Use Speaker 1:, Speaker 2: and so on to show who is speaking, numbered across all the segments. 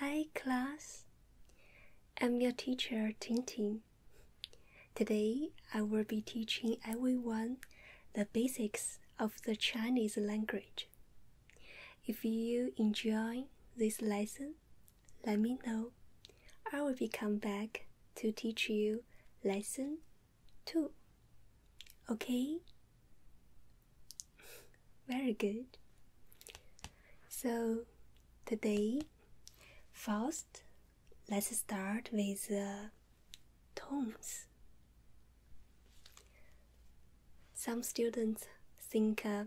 Speaker 1: Hi class, I'm your teacher Tintin. Today I will be teaching everyone the basics of the Chinese language. If you enjoy this lesson, let me know. I will be come back to teach you lesson 2. Okay? Very good. So, today, first, let's start with uh, tones. Some students think uh,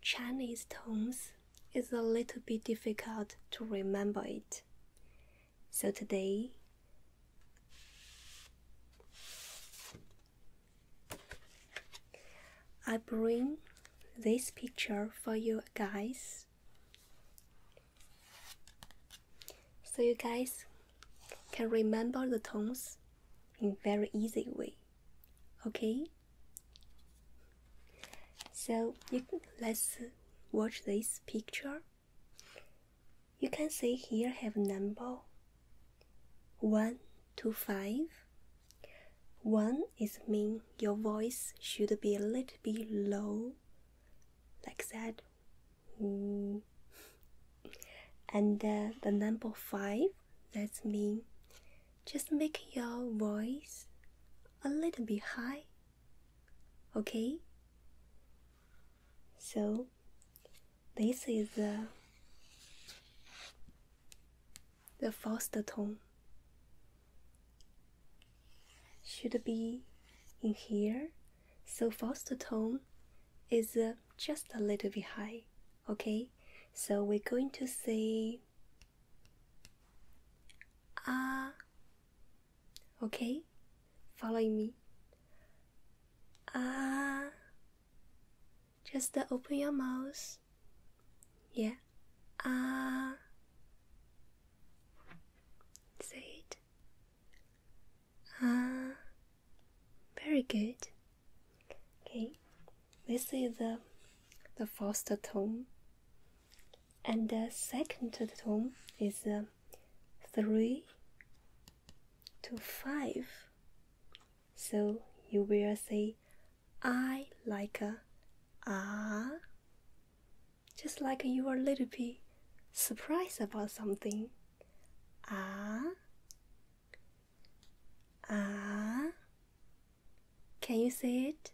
Speaker 1: Chinese tones is a little bit difficult to remember it. So today, I bring this picture for you guys so you guys can remember the tones in very easy way okay so you, let's watch this picture you can see here have number 1 to 5. 1 is mean your voice should be a little bit low, like that. Mm. And uh, the number 5, that's mean just make your voice a little bit high. Okay? So this is the, the first tone. Should be in here. So first tone is uh, just a little bit high. Okay, so we're going to say ah. Okay, following me. Ah. Just open your mouth. Yeah. Ah. say it. Ah. very good. Okay. This is the the first tone, and the second tone is uh, three to five. So you will say I like a ah, just like you are little bit surprised about something. Ah, ah, can you say it?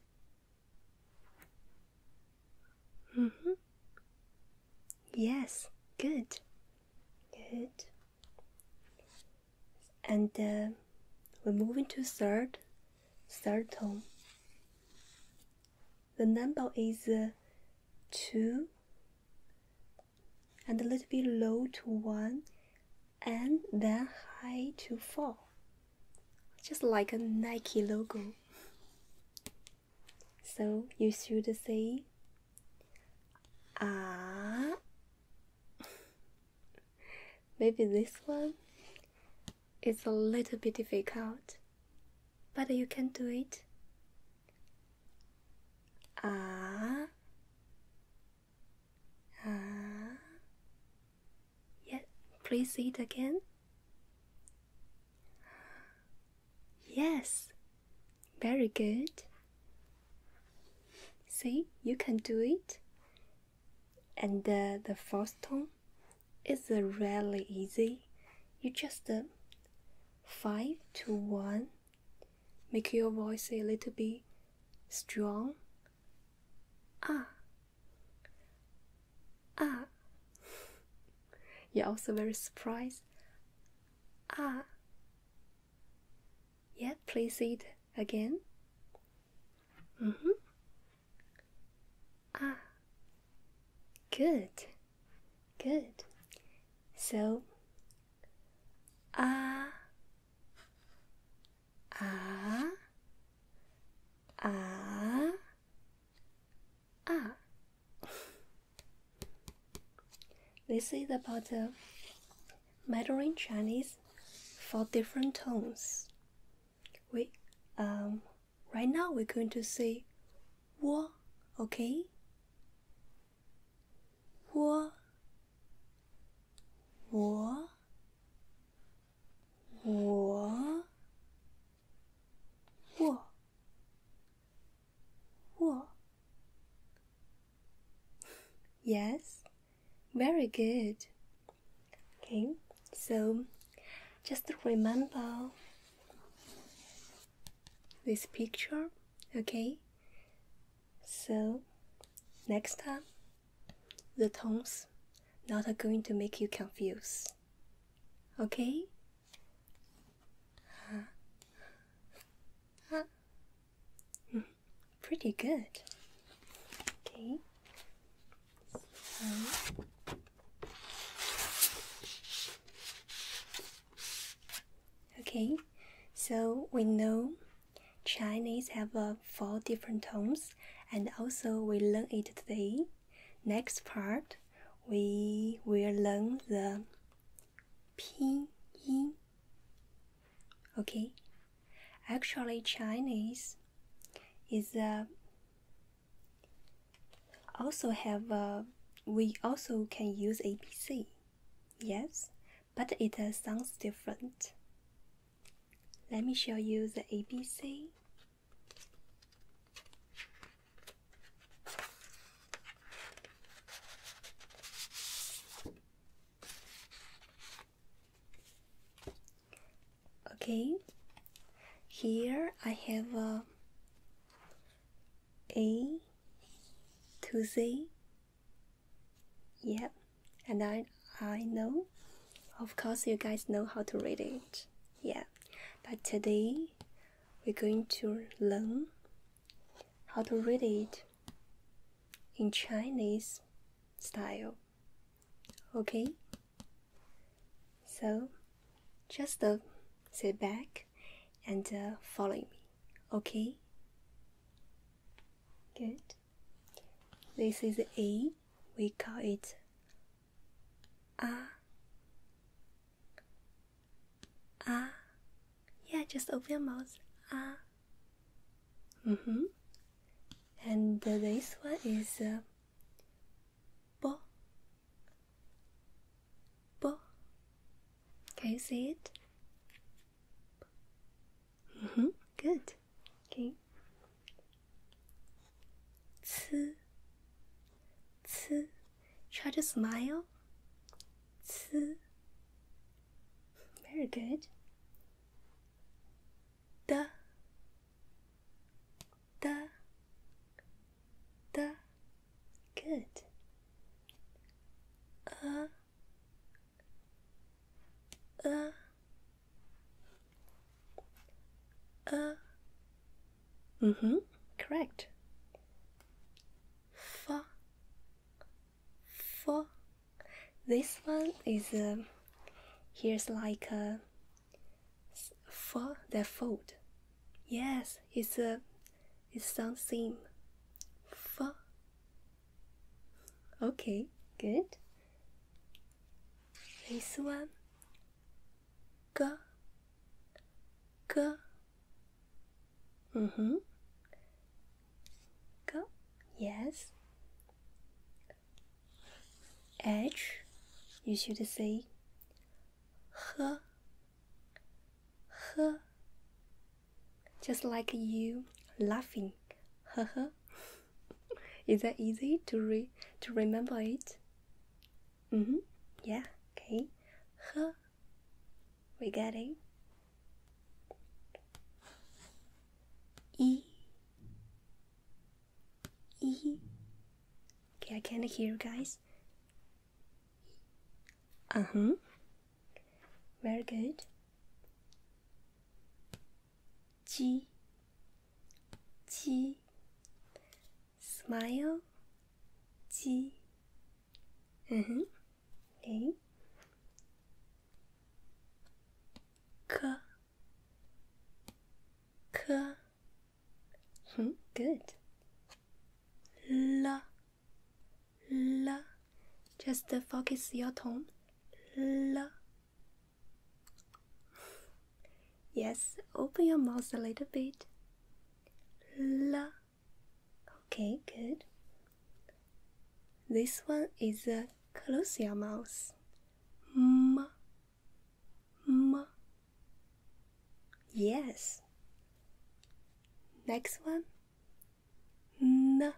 Speaker 1: Mm-hmm. Yes, good. Good. And uh, we're moving to third, third tone. The number is uh, two and a little bit low to one and then high to four. Just like a Nike logo. So you should say Ah. Maybe this one is a little bit difficult, but you can do it. Ah. Ah. Yeah, please say it again. Yes, very good. See, you can do it. And the fourth tone it's really easy. You just uh, 5 to 1, make your voice a little bit strong. Ah. Ah. You're also very surprised. Ah. Yeah, please it again. Mm hmm. Ah, good, good. So, ah, ah, ah, ah. This is about uh, Mandarin Chinese for different tones. We um right now we're going to say wo, okay? Wo, wo, wo, wo. Wo. Yes, very good. Okay, so just remember this picture, okay? So next time, the tones not are going to make you confused, okay? Uh, uh. uh mm-hmm pretty good. Okay. So Okay, so we know Chinese have uh, four different tones, and also we learn it today. Next part, we will learn the pinyin Okay, actually, Chinese is uh, also have uh, we also can use ABC, yes, but it uh, sounds different. Let me show you the ABC. Okay, here I have uh, a to Z. Yeah, and I I know, of course, you guys know how to read it. Yeah, but today we're going to learn how to read it in Chinese style. Okay? So just uh, sit back and uh, follow me. Okay? Good. This is A. We call it A. A. Yeah, just open your mouth. Uh. Mm hmm. And this one is uh, bo. Bo. Can you see it? Mm hmm. Good. Okay. Ts. Ts. Try to smile. Ts. Very good. The, the, the. Good. Uh, uh, uh. mm Correct. Fa, fa. This one is uh, here's like a for their food, Yes, it's a it's something for. Okay, good. This one, Go. Go. Mm-hmm. Go. Yes. H. You should say. H. H. Just like you laughing. Is that easy to re to remember it? Mm-hmm. Yeah. Okay. H. We got it. E E Okay, I can't hear you guys. Uh-huh. Very good. G G Smile G Mm-hmm. Uh-huh. K hmm, Good. La La Just focus your tongue. La Yes, open your mouth a little bit. La Okay, good. This one is a Colossia mouse. M M Yes. Next one. N.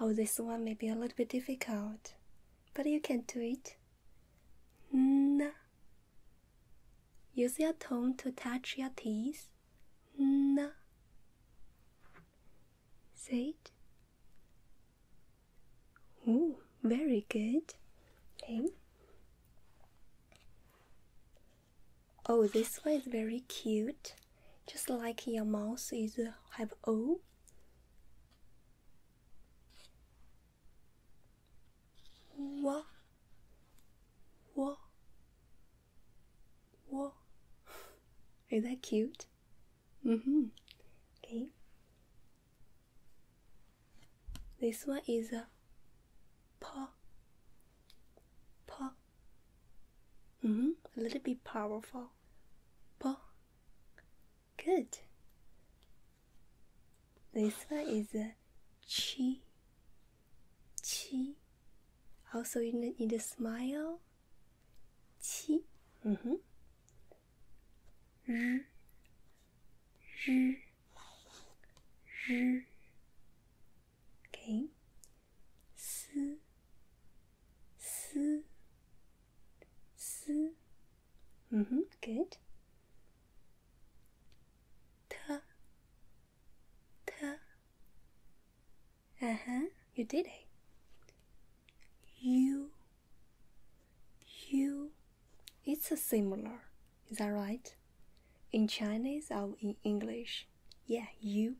Speaker 1: Oh, this one may be a little bit difficult, but you can do it. N. Use your tongue to touch your teeth. N. Say it. Oh, very good. Okay. Oh, this one is very cute. Just like your mouth is uh, have O. Whoa. Is that cute? Mm-hmm. Okay. This one is a paw. Paw. Mm-hmm. A little bit powerful. Paw. Good. This one is a chi. Chi. Also, you need a smile. Qi. Mm -hmm. R. R. R. Okay. S. S. S. Mm -hmm. Good. T. T. Uh huh, you did it. You, you. It's a similar, is that right? In Chinese or in English? Yeah, you.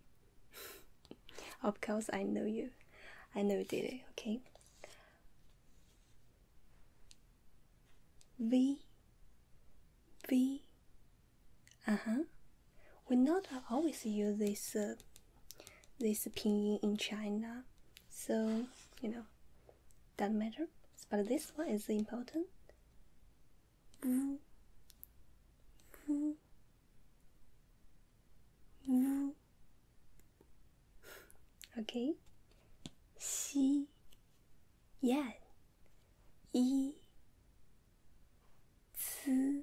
Speaker 1: of course, I know you. I know you did it, okay? V, V, uh huh. We not always use this uh, this pinyin in China, so you know doesn't matter. But this one is important. Mm. Mm. Mm. Okay. Xi Yan Yi z.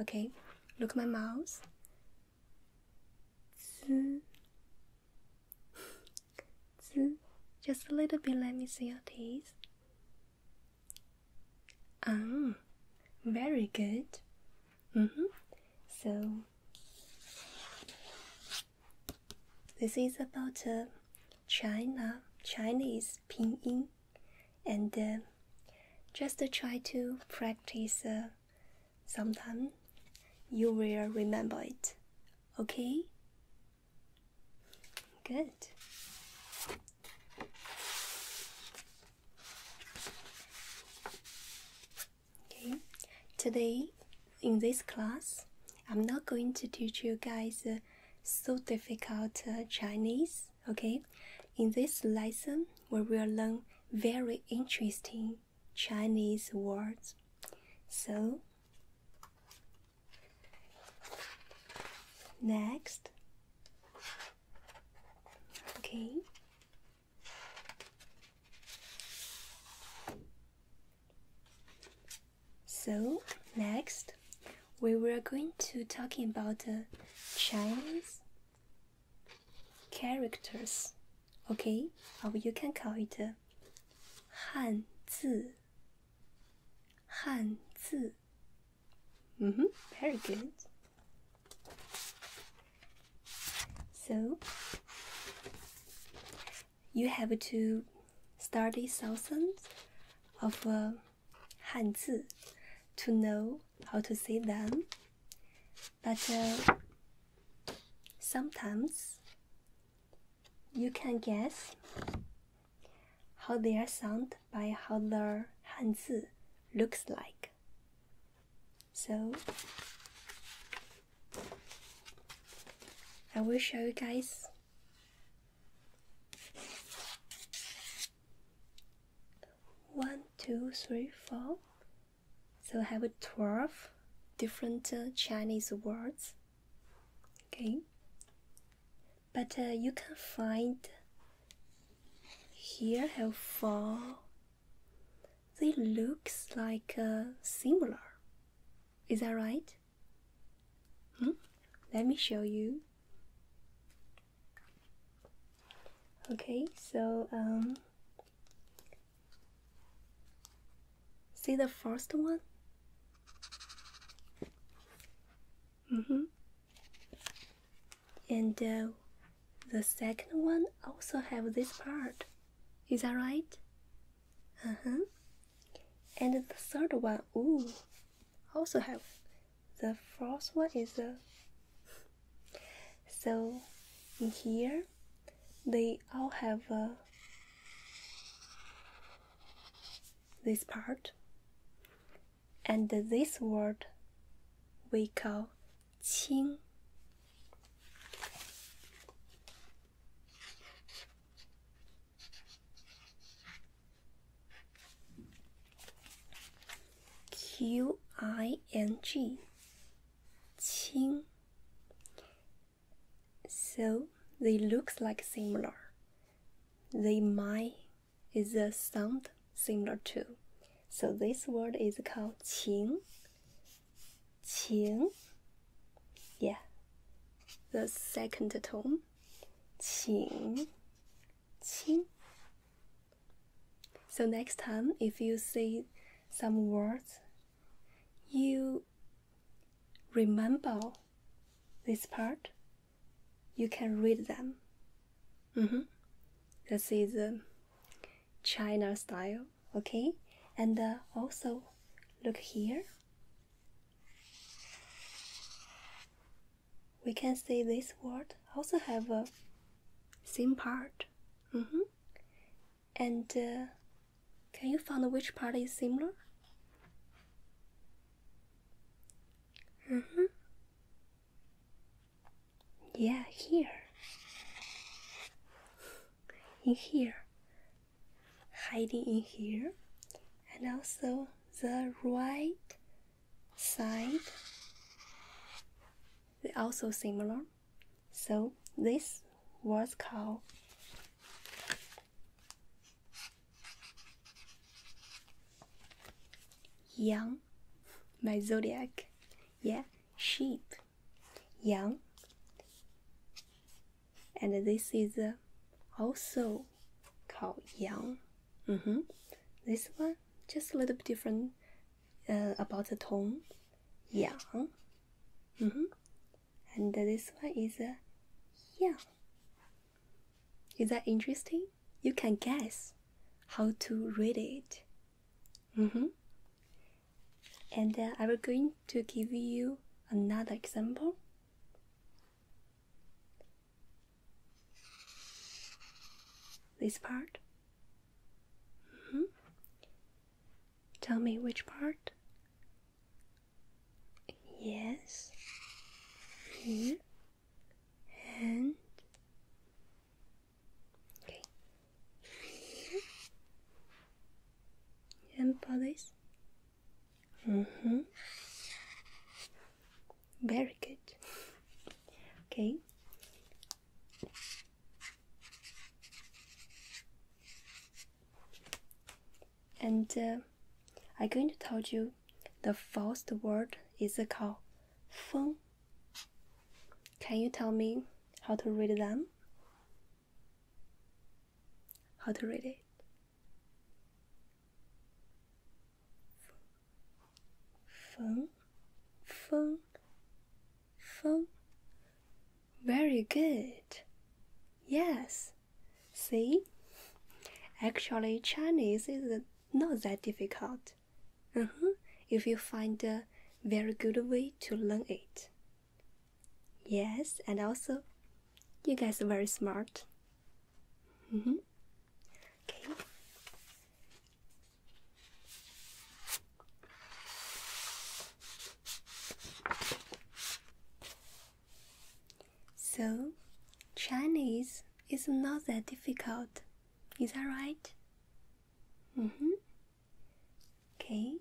Speaker 1: Okay, look my mouth. Z. z. Just a little bit. Let me see your teeth. Um, very good. Mm -hmm. So this is about uh, China Chinese is pinyin, and uh, just try to practice uh, Sometimes You will remember it. Okay? Good. Okay. Today, in this class, I'm not going to teach you guys uh, so difficult Chinese okay in this lesson we will learn very interesting chinese words so next okay so next we were going to talking about the uh, chinese characters. Okay, or oh, you can call it uh, 汉字.汉字. Mm-hmm, very good. So you have to study thousands of. Uh, 汉字 to know how to say them, but uh, sometimes you can guess how their sound by how their hanzi looks like. So I will show you guys one, two, three, four. So I have 12 different uh, Chinese words. Okay. But uh, you can find here have four. They looks like uh, similar. Is that right? Hmm? Let me show you. Okay, so um, see the first one. Mm hmm And uh, the second one also have this part. Is that right? Uh huh. And the third one, ooh, also have the first one is the uh, so in here they all have uh, this part and this word we call qing Q I N G, So they looks like similar. They might is a sound similar to. So this word is called qing. Qing. Yeah. The second tone. Qing. Qing. So next time, if you see some words, you remember this part, you can read them. Mm-hmm. This is um, China style, okay? And uh, also, look here we can see this word also have a same part. Mm -hmm. And uh, can you find which part is similar? Mm -hmm. Yeah, here. In here. Hiding in here. And also the right side they also similar so this was called yang my zodiac yeah sheep yang and this is also called yang mm -hmm. this one just a little bit different uh, about the tone yang. Mm -hmm. And this one is a uh, yang. Is that interesting? You can guess how to read it. Mm -hmm. And uh, I'm going to give you another example. This part? Mm -hmm. Tell me which part? Yes. Here. And. Okay. And bodies? Mm hmm. Very good. Okay. And uh, I'm going to tell you the first word is called feng. Can you tell me how to read them? How to read it? Feng, feng, feng. Very good. Yes. See? Actually, Chinese is not that difficult. Uh -huh. If you find a very good way to learn it. Yes, and also, you guys are very smart. Mm -hmm. Okay. So, Chinese is not that difficult, is that right? Mm hmm. Okay.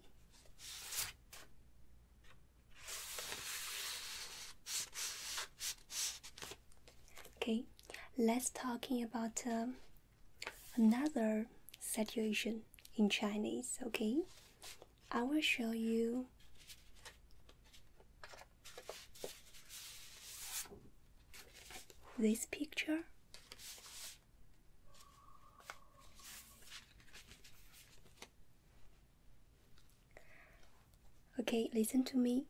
Speaker 1: Okay, let's talking about um, another situation in Chinese, okay? I will show you this picture. Okay, listen to me.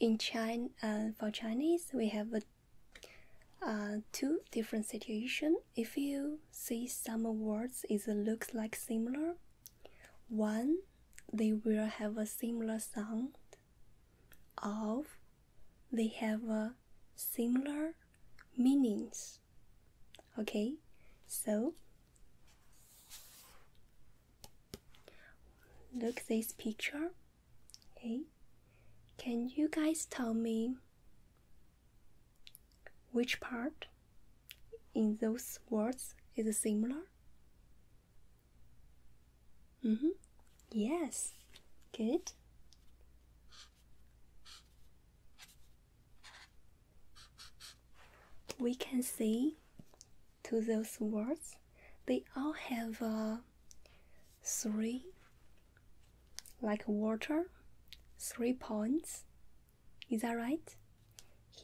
Speaker 1: In China, uh, for Chinese, we have a uh, two different situation. If you see some words, it looks like similar. One, they will have a similar sound. Of, they have a similar meanings. Okay, so look this picture. Hey, can you guys tell me which part in those words is similar? Mm hmm. Yes, good. We can see to those words, they all have a three like water three points is that right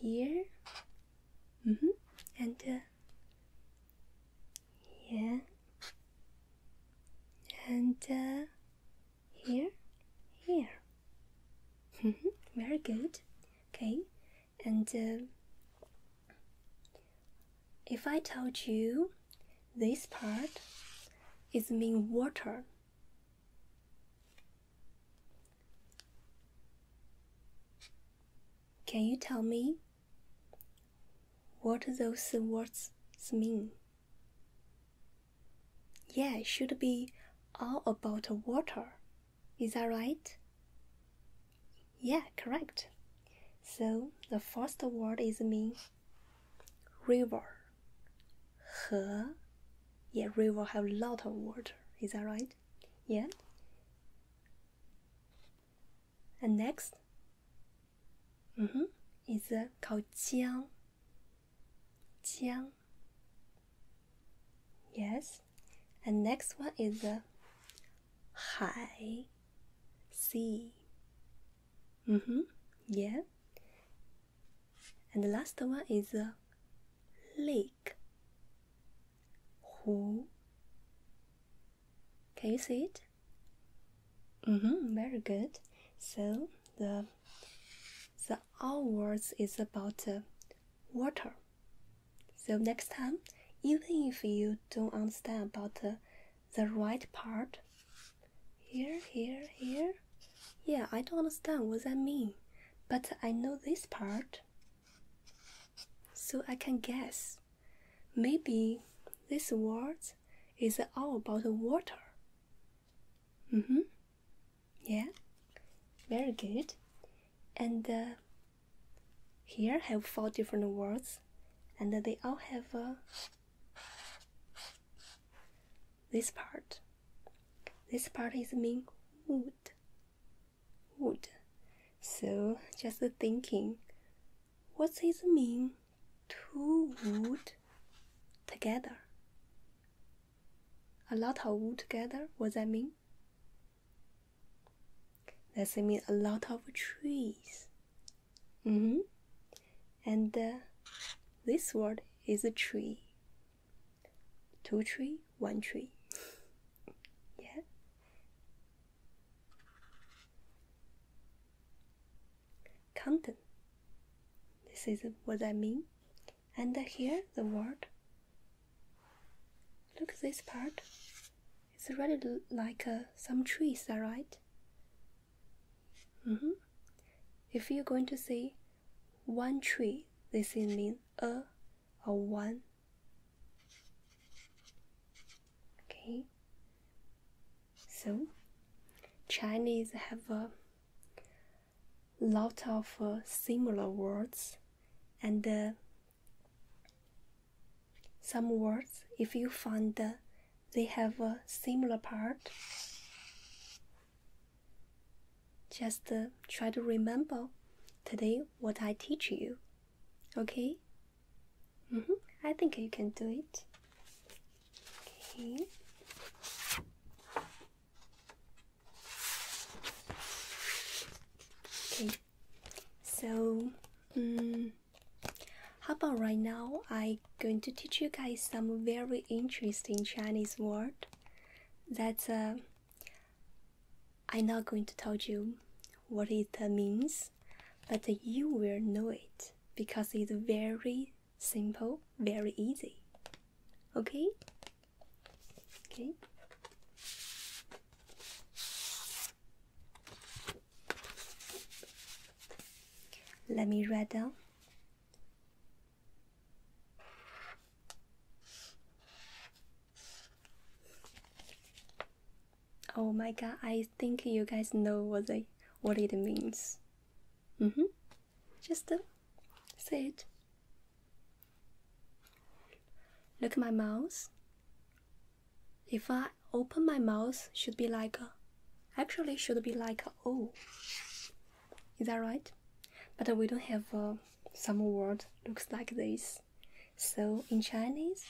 Speaker 1: here mm -hmm. and uh, here and uh, here mm-hmm. very good okay and uh, if I told you this part is mean water, can you tell me what those words mean? Yeah, it should be all about water. Is that right? Yeah, correct. So the first word is mean river. 河 yeah, river have a lot of water. Is that right? Yeah. And next, mm -hmm, is uh, called Yes. And next one is uh, 海. C. Mm-hmm. Yeah. And the last one is uh, lake. Who? Can you see it? Mm-hmm. Very good. So the the all words is about uh, water. So next time, even if you don't understand about the. Uh, the right part. Here, here, here. Yeah, I don't understand what that means, but I know this part. So I can guess. Maybe this word is all about water. Mm hmm. Yeah. Very good. And uh, here have four different words colors and they all have uh, this part. This part is mean wood. Wood. So just thinking, what does it mean two wood together? A lot of wood together, what does that mean? That's mean a lot of trees. Mm -hmm. And uh, this word is a tree. Two tree, one tree. yeah. Content. This is what I mean. And uh, here the word. Look this part. It's really like uh, some trees, all right? Mm -hmm. If you're going to say one tree, this mean a or one. Okay. So, Chinese have a lot of uh, similar words, and uh, some words, if you find that they have a similar part, just uh, try to remember today what I teach you. Okay? Mm -hmm. I think you can do it. Okay. Okay. So, um, how about right now I'm going to teach you guys some very interesting Chinese word that uh, I'm not going to tell you what it uh, means, but you will know it because it's very simple, very easy. Okay? Okay. Let me write down. Oh my god, I think you guys know what they what it means. Mm-hmm. Just uh, say it. Look at my mouth. If I open my mouth, should be like actually should be like a O. Is that right? But we don't have uh, some word looks like this. So in Chinese,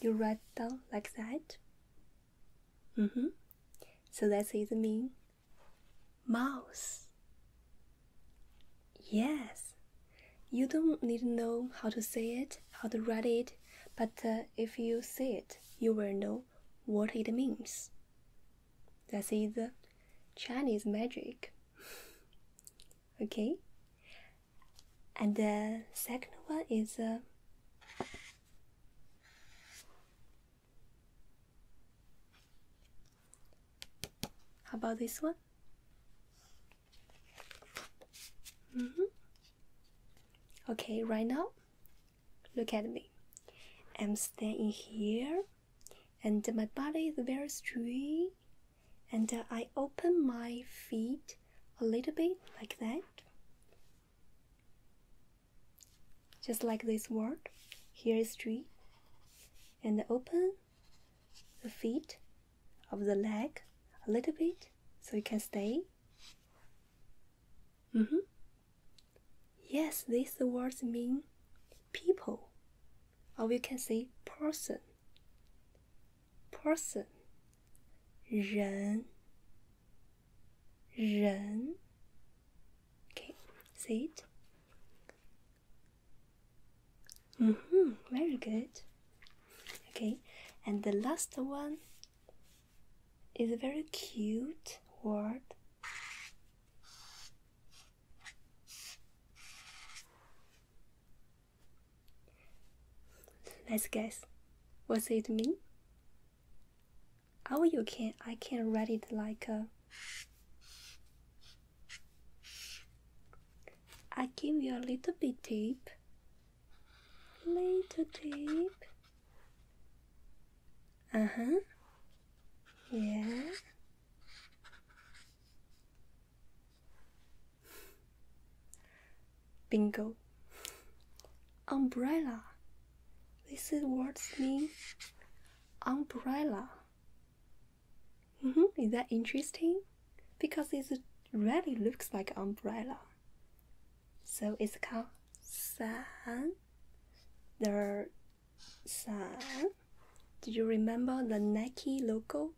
Speaker 1: you write down like that. Mm-hmm. So that's it mean mouse. Yes, you don't need to know how to say it, how to write it, but uh, if you see it, you will know what it means. That is Chinese magic. okay? And the second one is. Uh, how about this one? Mm -hmm. Okay, right now, look at me. I'm standing here, and my body is very straight, and I open my feet a little bit like that. Just like this word, here is straight, and open the feet of the leg a little bit so you can stay. Mm -hmm. Yes, these words mean people, or you can say person. Person, Okay, see it. Mm -hmm, very good okay and the last one is a very cute word let's guess what's it mean oh you can i can write it like a I give you a little bit tip Little deep. Uh huh. Yeah. Bingo. Umbrella. This is what's mean. Umbrella. Mm -hmm. Is that interesting? because it really looks like an umbrella. So it's called san. The san. Do you remember the Nike logo?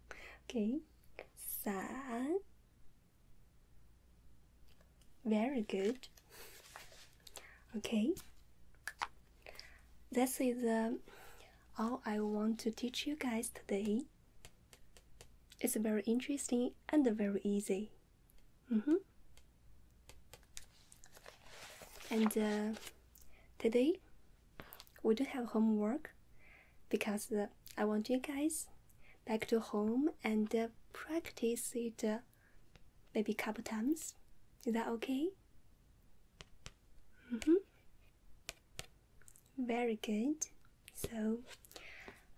Speaker 1: okay, san. Very good. Okay, this is uh, all I want to teach you guys today. It's very interesting and very easy. Mm -hmm. And uh, today we do have homework because uh, I want you guys back to home and uh, practice it maybe a couple times. Is that okay? Mm -hmm. Very good. So,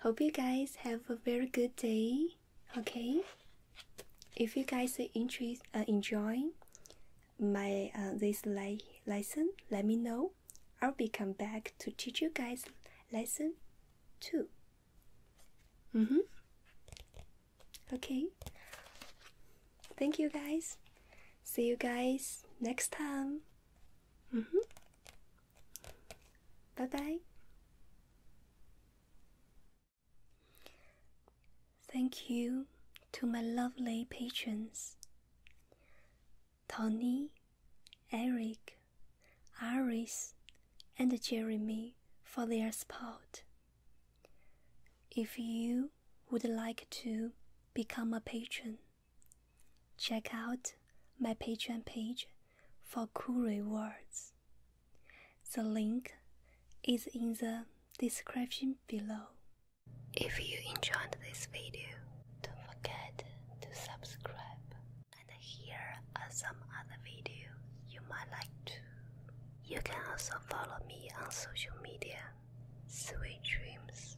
Speaker 1: hope you guys have a very good day. Okay, if you guys are interest, uh, enjoying my uh, this le lesson, let me know. I'll be come back to teach you guys lesson two. Mm hmm. Okay. Thank you guys. See you guys next time. Mm -hmm. Bye bye. Thank you to my lovely patrons Tony, Eric, Iris, and Jeremy for their support. If you would like to become a patron, Check out my Patreon page for cool rewards. The link is in the description below. If you enjoyed this video, don't forget to subscribe and here are some other videos you might like to. You can also follow me on social media. Sweet dreams.